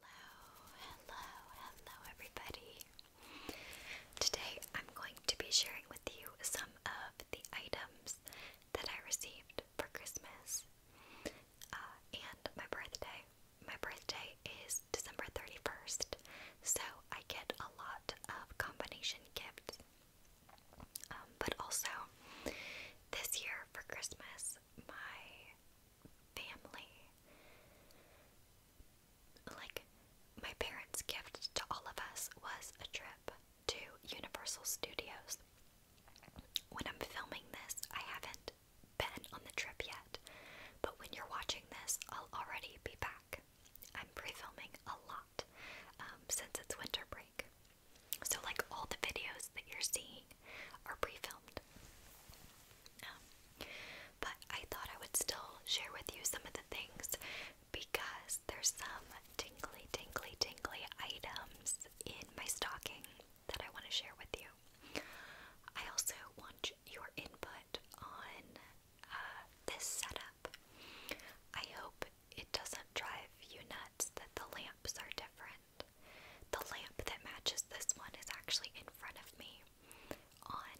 Hello, hello, hello everybody. Today I'm going to be sharing with you some of the items that I received for Christmas uh, and my birthday. My birthday is December 31st, so I get a lot of combination gifts. Um, but also, this year for Christmas, my family. Like, my parents' gift to all of us was a trip to Universal Studios. When I'm filming this, I haven't been on the trip yet, but when you're watching this, I'll already be back. I'm pre filming a lot um, since it's winter break. So, like, all the videos that you're seeing are pre-filmed. Um, but I thought I would still share with you some of the things because there's some tingly, tingly, tingly items in my stocking that I want to share with you. I also want your input on uh, this setup. I hope it doesn't drive you nuts that the lamps are different the lamp that matches this one is actually in front of me on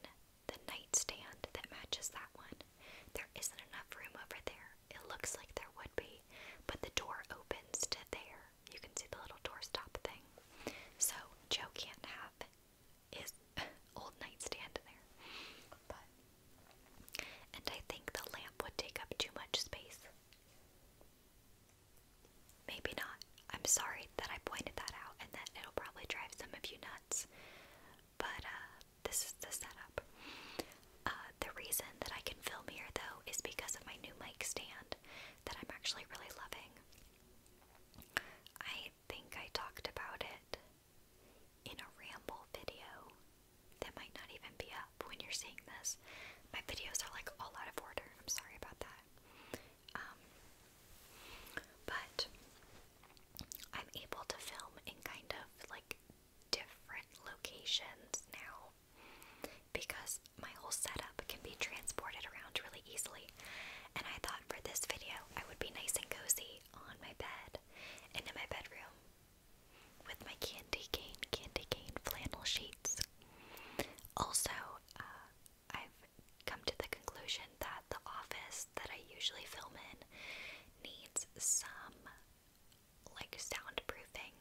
the nightstand that matches that one. There isn't enough room over there. It looks like there would be, but the door opens to there. You can see the little doorstop thing. So Joe can't have his old nightstand there. But and I think the lamp would take up too much space. Maybe not. I'm sorry that I pointed that out and that it'll probably drive some of you nuts. But uh, this is the setup. Uh, the reason that I can film here though is because of my new mic stand that I'm actually really loving. I think I talked about it in a ramble video that might not even be up when you're seeing this. My videos are like all out of order. I'm sorry about that. Um, but I'm able to film in kind of like different locations now because my whole setup can be transported around really easily. And I thought for this video, I would be nice and cozy on my bed and in my bedroom with my candy cane, candy cane flannel sheets also, uh, I've come to the conclusion that the office that I usually film in needs some like soundproofing.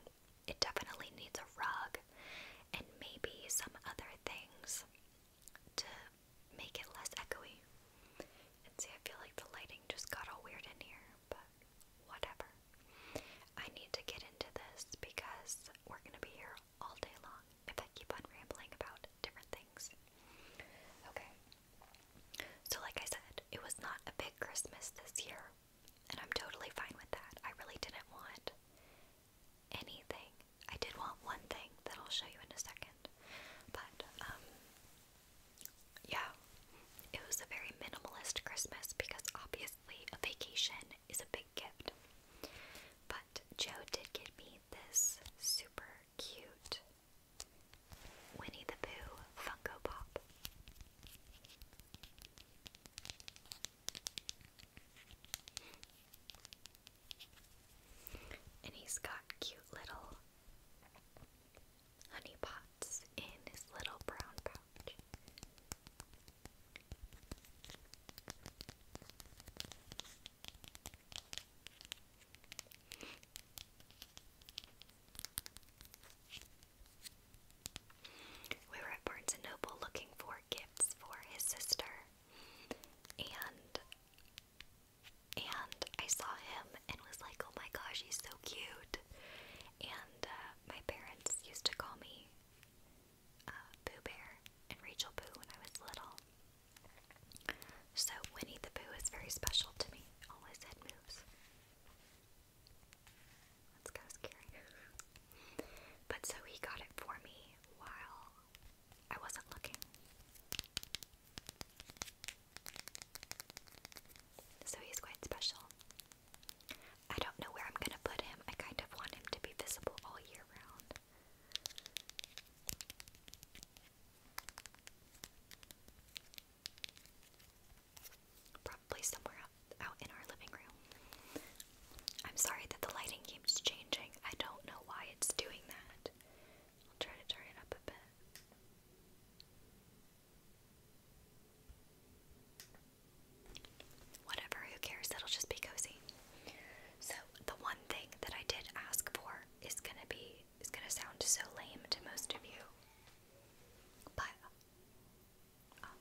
It definitely needs a rug and maybe some other things to make it less echoey. And see, I feel like the lighting just got all weird in here, whatever. I need to get into this because we're going to be here all day long if I keep on rambling about different things. Okay. So, like I said, it was not a big Christmas this year, and I'm totally fine with that. I really didn't want anything. I did want one thing that I'll show you in a second, but, um, yeah, it was a very minimalist Christmas because obviously obviously, a vacation is a big gift. But Joe did get me this super cute Winnie the Pooh Funko Pop. And he's got cute little honey pots in his little brown pouch approach. We were at Barnes and Noble looking for gifts for his sister, and and I saw him and was like, "Oh my gosh, he's so cute!" And uh, my parents used to call me uh, Pooh Bear and Rachel Pooh when I was little. So Winnie the Pooh is very special to me. All his head moves. That's kind of scary. But so he got it for me while I wasn't looking. So he's quite special. I don't know where I'm gonna put him. I kind of want him to be visible all year round. Probably somewhere out, out in our living room. I'm sorry that the lighting keeps changing. I don't know why it's doing that. I'll try to turn it up a bit. Whatever, who cares? That'll just be cozy. So the one thing that I did ask for is gonna be is gonna sound so lame to most of you. But um,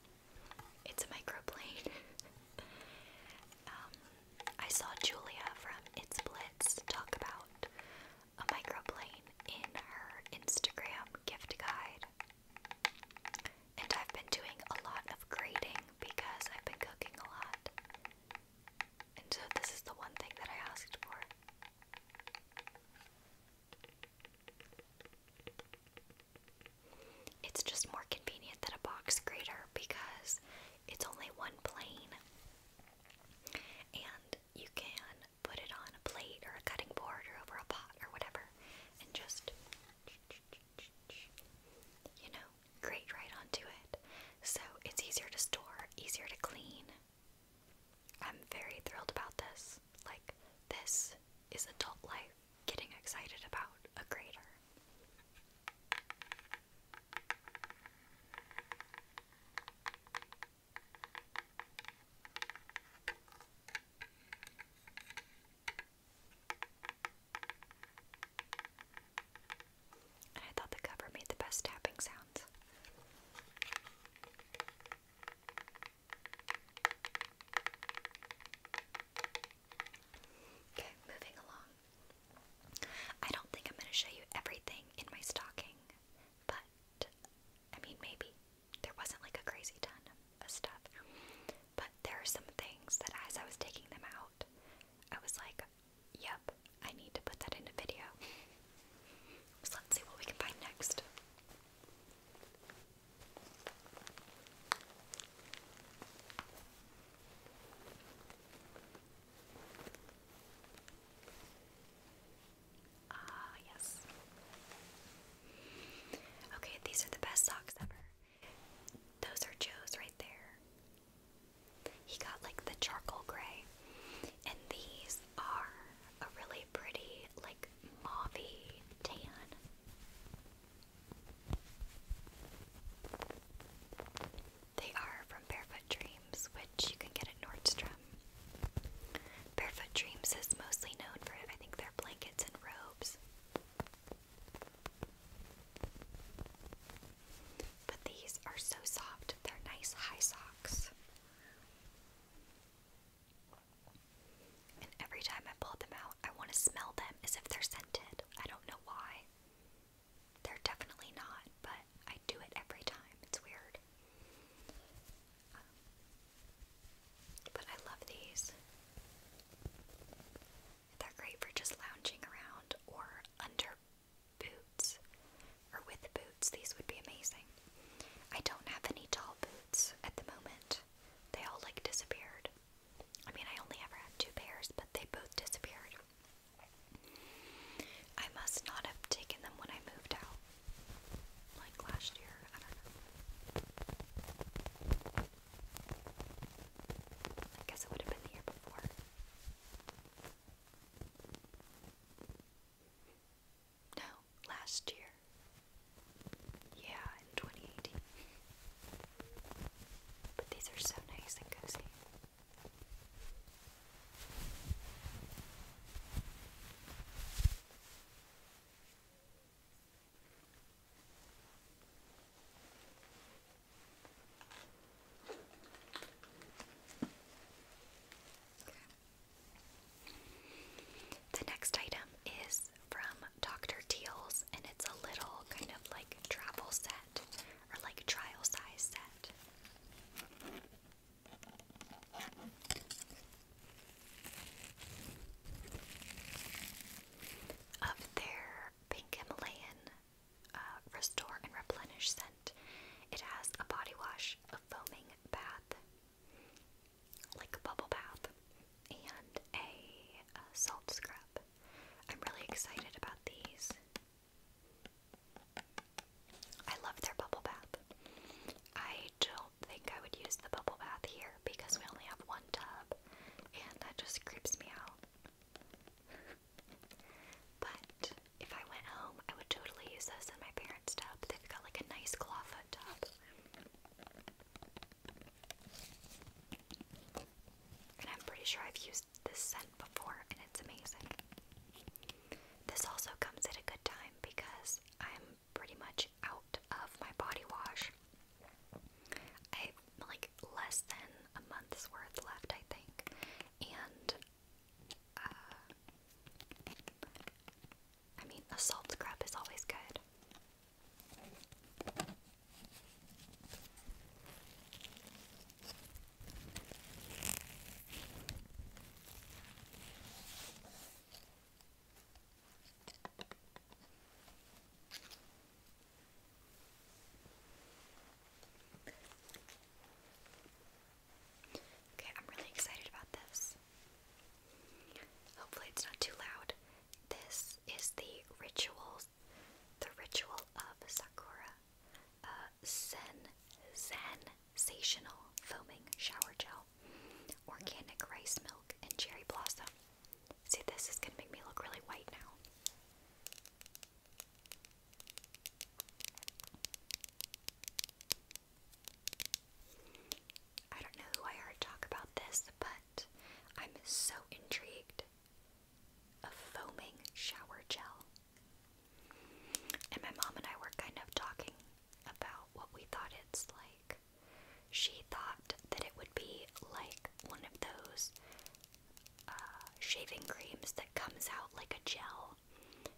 it's a microplane. Um, I saw Julia from It's Blitz talk about a microplane in her Instagram gift guide. And I've been doing a lot of grading because I've been cooking a lot. And so this is the one thing that I asked for. It's just more convenient than a box grater because it's only one plane and you can put it on a plate or a cutting board or over a pot or whatever, and just, you know, grate right onto it. So it's easier to store, easier to clean. I'm very thrilled about this. Like, this is adult life getting excited about a grater. I thought the cover made the best tapping sounds. Okay, moving along. I don't think I'm going to show you everything in my stocking, but I mean, maybe there wasn't like a crazy ton of stuff. But there are some things that as I was taking them out, I was like, yep, I need to put that in a video. so let's see what we can find next. Ah, yes. Okay, these are the best socks ever. Those are Joe's right there. He got like the charcoal gray. And these are a really pretty, like mauvey tan. They are from Barefoot Dreams, which you can get at Nordstrom. Um, Barefoot Dreams is mostly known for, I think, their blankets and robes. But these are so soft, they're nice high socks. And every time I pull them out, I want to smell them as if they're scented. I don't know why. They're definitely not, but I do it every time. It's weird. Um, but I love these. They're great for just lounging around or under boots or with boots. These would be amazing. I don't have any tall boots at the moment. They all like disappeared. I mean, I only ever had two pairs, but they both disappeared. I must not have taken them when I moved out like last year. I don't know. I guess it would have been the year before. No, last year. Yeah, in 2018. But these are so nice and cozy. The next item is from Dr. Teal's, and it's a little kind of like travel set or like trial size set. Of their Pink Himalayan uh, Restore and Replenish scent, it has a body wash, a foaming bath, like a bubble bath, and a uh, salt scrub. I'm really excited about these. I love their bubble bath. I don't think I would use the bubble bath here because we only have one tub and that just creeps me out. but if I went home, I would totally use this in my parents' tub. They've got like a nice clawfoot tub. And I'm pretty sure I've used this scent before and it's amazing. This also comes at a good time because I'm pretty much out of my body wash. I have like less than a month's worth left, I think. And uh, I mean, a salt scrub is always good. Okay, I'm really excited about this. Hopefully, it's not too loud. This is the ritual, the ritual of Sakura. Uh, Sen Sensational Foaming Shower Gel, Organic Rice Milk, and Cherry Blossom. See, this is gonna make me look really white now. I don't know who I heard talk about this, but I'm so intrigued. A foaming shower gel. And my mom and I were kind of talking about what we thought it's like. She thought that it would be like one of those uh, shaving creams that comes out like a gel,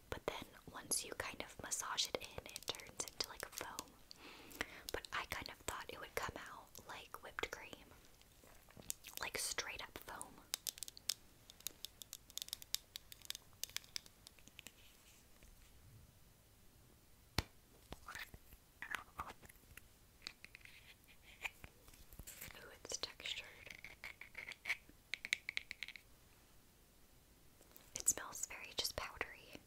but then once you kind of massage it in, it turns into like a foam. But I kind of thought it would come out like whipped cream, like straight up foam. Ooh, it's textured. It smells very just powdery.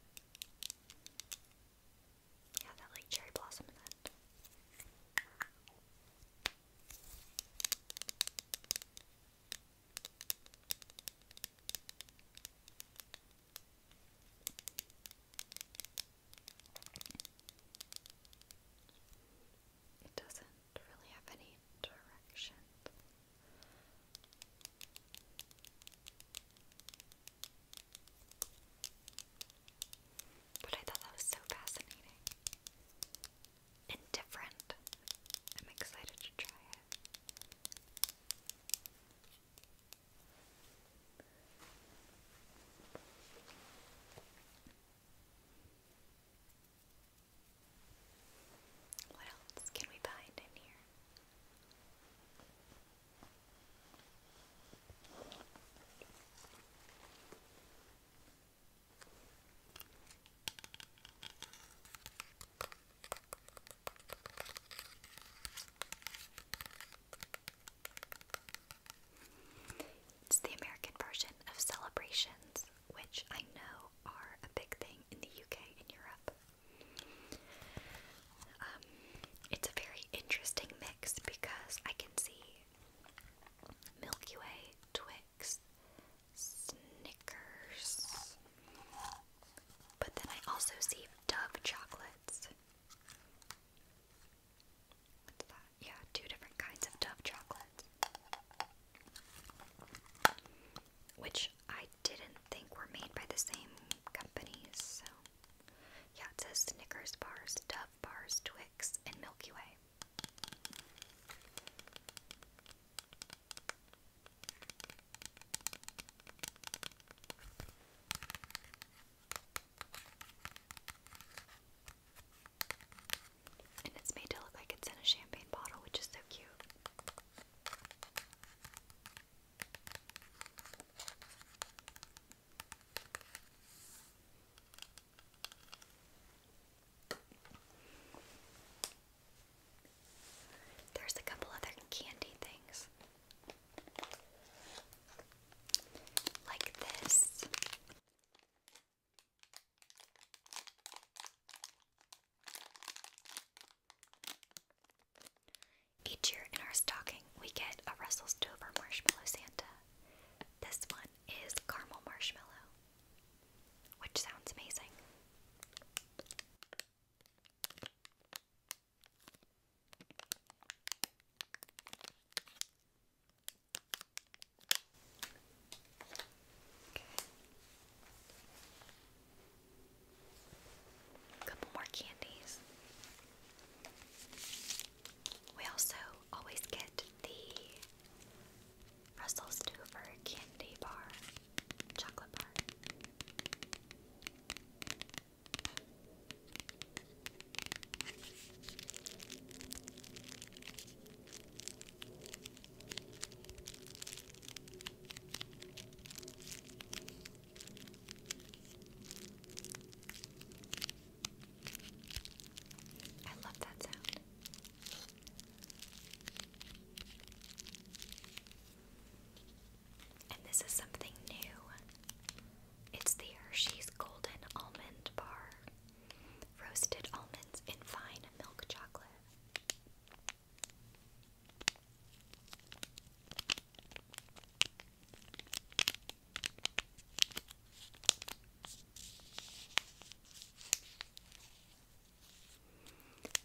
Yeah, that like cherry blossom in it doesn't really have any direction. But I thought that was so fascinating and I'm excited to try it. What else can we find in here? It's the American version of celebrations, which I know are a big thing in the UK and Europe. Um, it's a very interesting mix because I can see Milky Way, Twix, Snickers. But then I also see Dove chocolates. Yeah, two different kinds of Dove chocolates. Which I didn't think were made by the same companies, so. Yeah, it says Snickers bars, Dove bars, Twix, and Milky Way. And it's made to look like it's in a champagne bottle, which is so cute. There's a couple other candy things. Like this. Each year in our stocking, we get a Russell Stover Marshmallow Santa. This one is caramel marshmallow which sounds amazing. couple more candies. We also always get the Russell's due for a candy bar, chocolate bar. I love that sound. And this is something new. It's the Hershey's Golden Almond Bar. Roasted almonds in fine milk chocolate.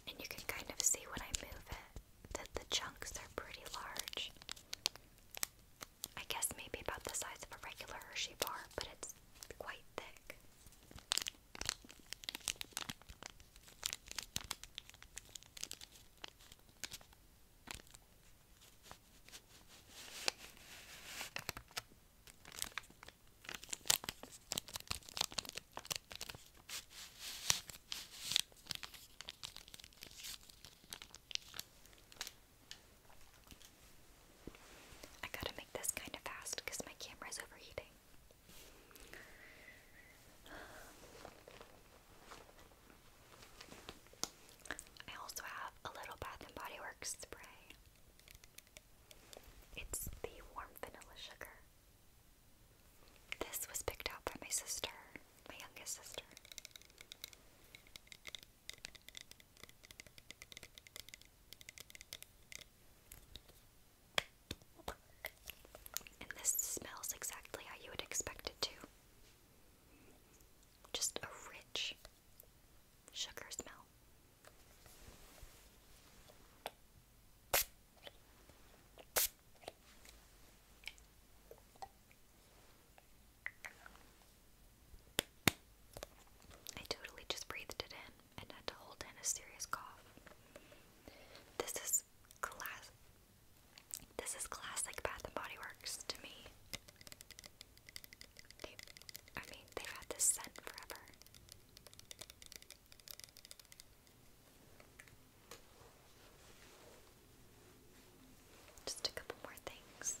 And you can kind of see when I move it that the chunks are pretty large. I guess maybe about the size of a regular Hershey bar, but it's quite thick. I gotta make this kind of fast because my camera is overheating. I also have a little Bath and Body Works spray. It's the warm vanilla sugar. This was picked out by my sister, my youngest sister. And this smells exactly how you would expect it to. Just a rich, Sugar smell. I totally just breathed it in and had to hold in a serious cough. This is class. This is classic Bath and Body Works to me. They, I mean, they've had this scent forever. Just a couple more things.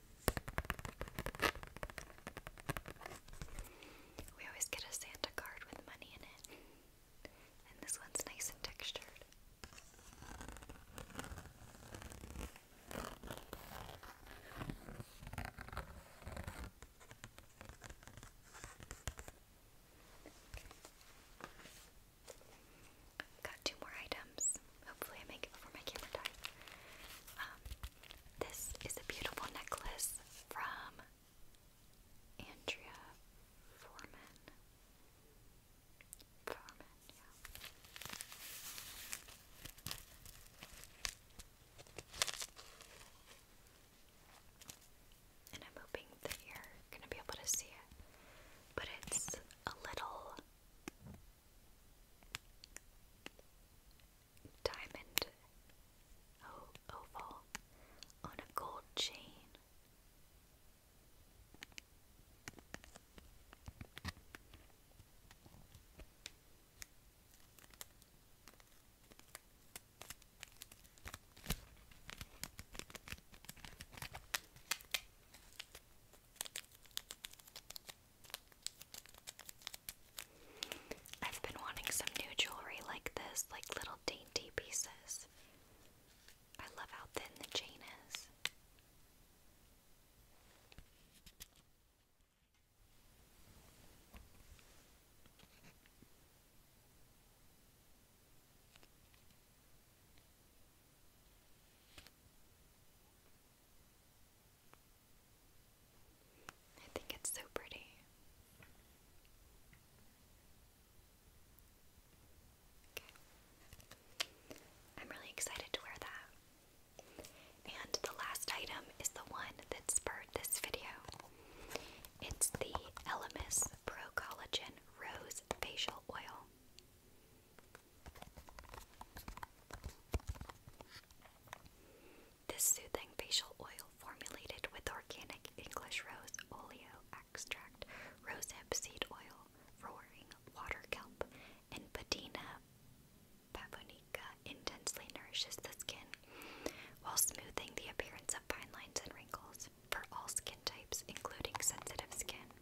We always get a Santa card with money in it. And this one's nice and textured. Got two more items. Hopefully, I make it before my camera dies. Um, this is a beautiful necklace from Andrea Foreman. And I'm hoping that you're going to be able to see it. But it's a little diamond oval on a gold chain. I've been wanting some new jewelry like this, like little dainty pieces. I love how thin the chain is. I think it's so pretty. I'm really excited to wear that. And the last item is the one that spurred this video. It's the Elemis Pro Collagen Rose Facial Oil. This soothing facial oil formulated with organic English rose oleo extract, rosehip seed oil, roaring water kelp, and patina pavonica intensely nourishes the skin while smoothing the appearance of fine lines and wrinkles for all skin types, including sensitive skin.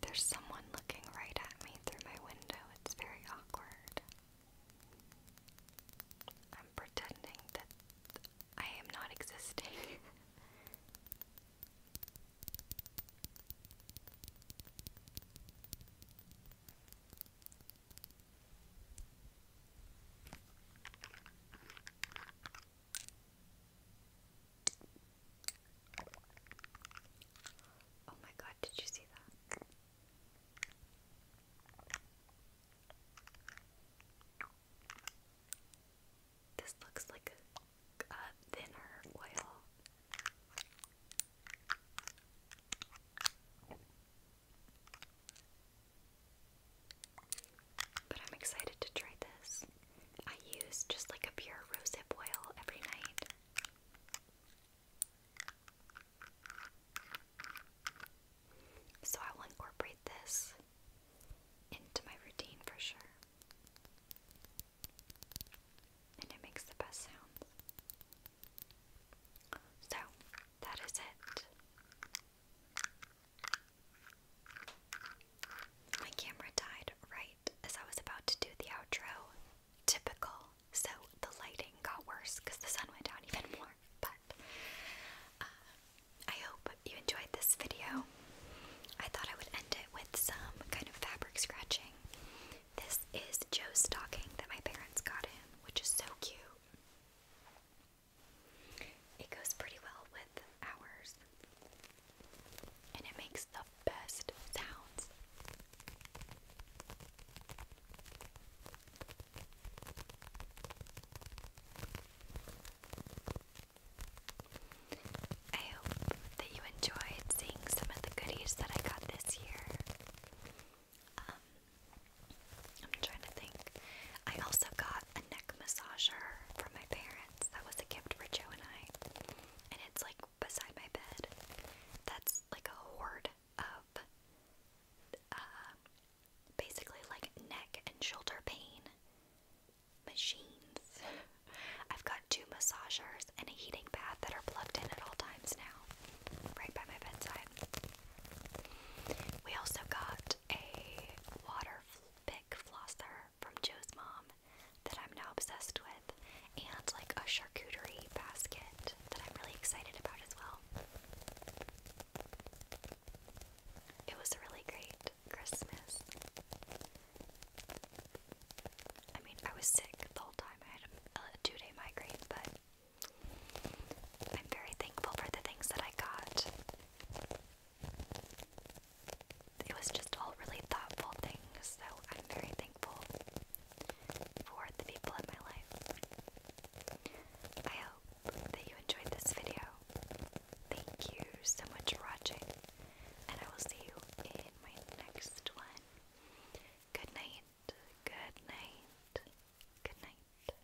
There's someone looking right at me through my window. It's very awkward. I'm pretending that I am not existing. Oh my god, did you see that? This looks like a, thinner oil. But I'm excited to try this. I use just like a pure rosehip oil every night. So I will incorporate this into my routine for sure. And it makes the best sounds. So, that is it. My camera died right as I was about to do the outro. Typical. So the lighting got worse because the sun went down even more. But uh, I hope you enjoyed this video. I thought I would end it with some kind of fabric scratching. This is Joe's stocking that my parents got him, which is so cute. It goes pretty well with ours and it makes the best sounds. I hope that you enjoyed seeing some of the goodies that I got this year. Um, I'm trying to think. I also got a neck massager from my parents. That was a gift for Joe and I. And it's like beside my bed. That's like a hoard of uh, basically like neck and shoulder pain machines. I've got two massagers and a heating pad that are plugged in at all times now, right by my bedside. We also got a water pick flosser from Joe's mom that I'm now obsessed with, and like a charcuterie basket that I'm really excited about as well. It was a really great Christmas. I mean, I was sick the whole time. I had a, two day migraine, but I'm very thankful for the things that I got it was just all really thoughtful things, so I'm very thankful for the people in my life. I hope that you enjoyed this video. Thank you so much for watching, and I will see you in my next one. Good night, good night, good night.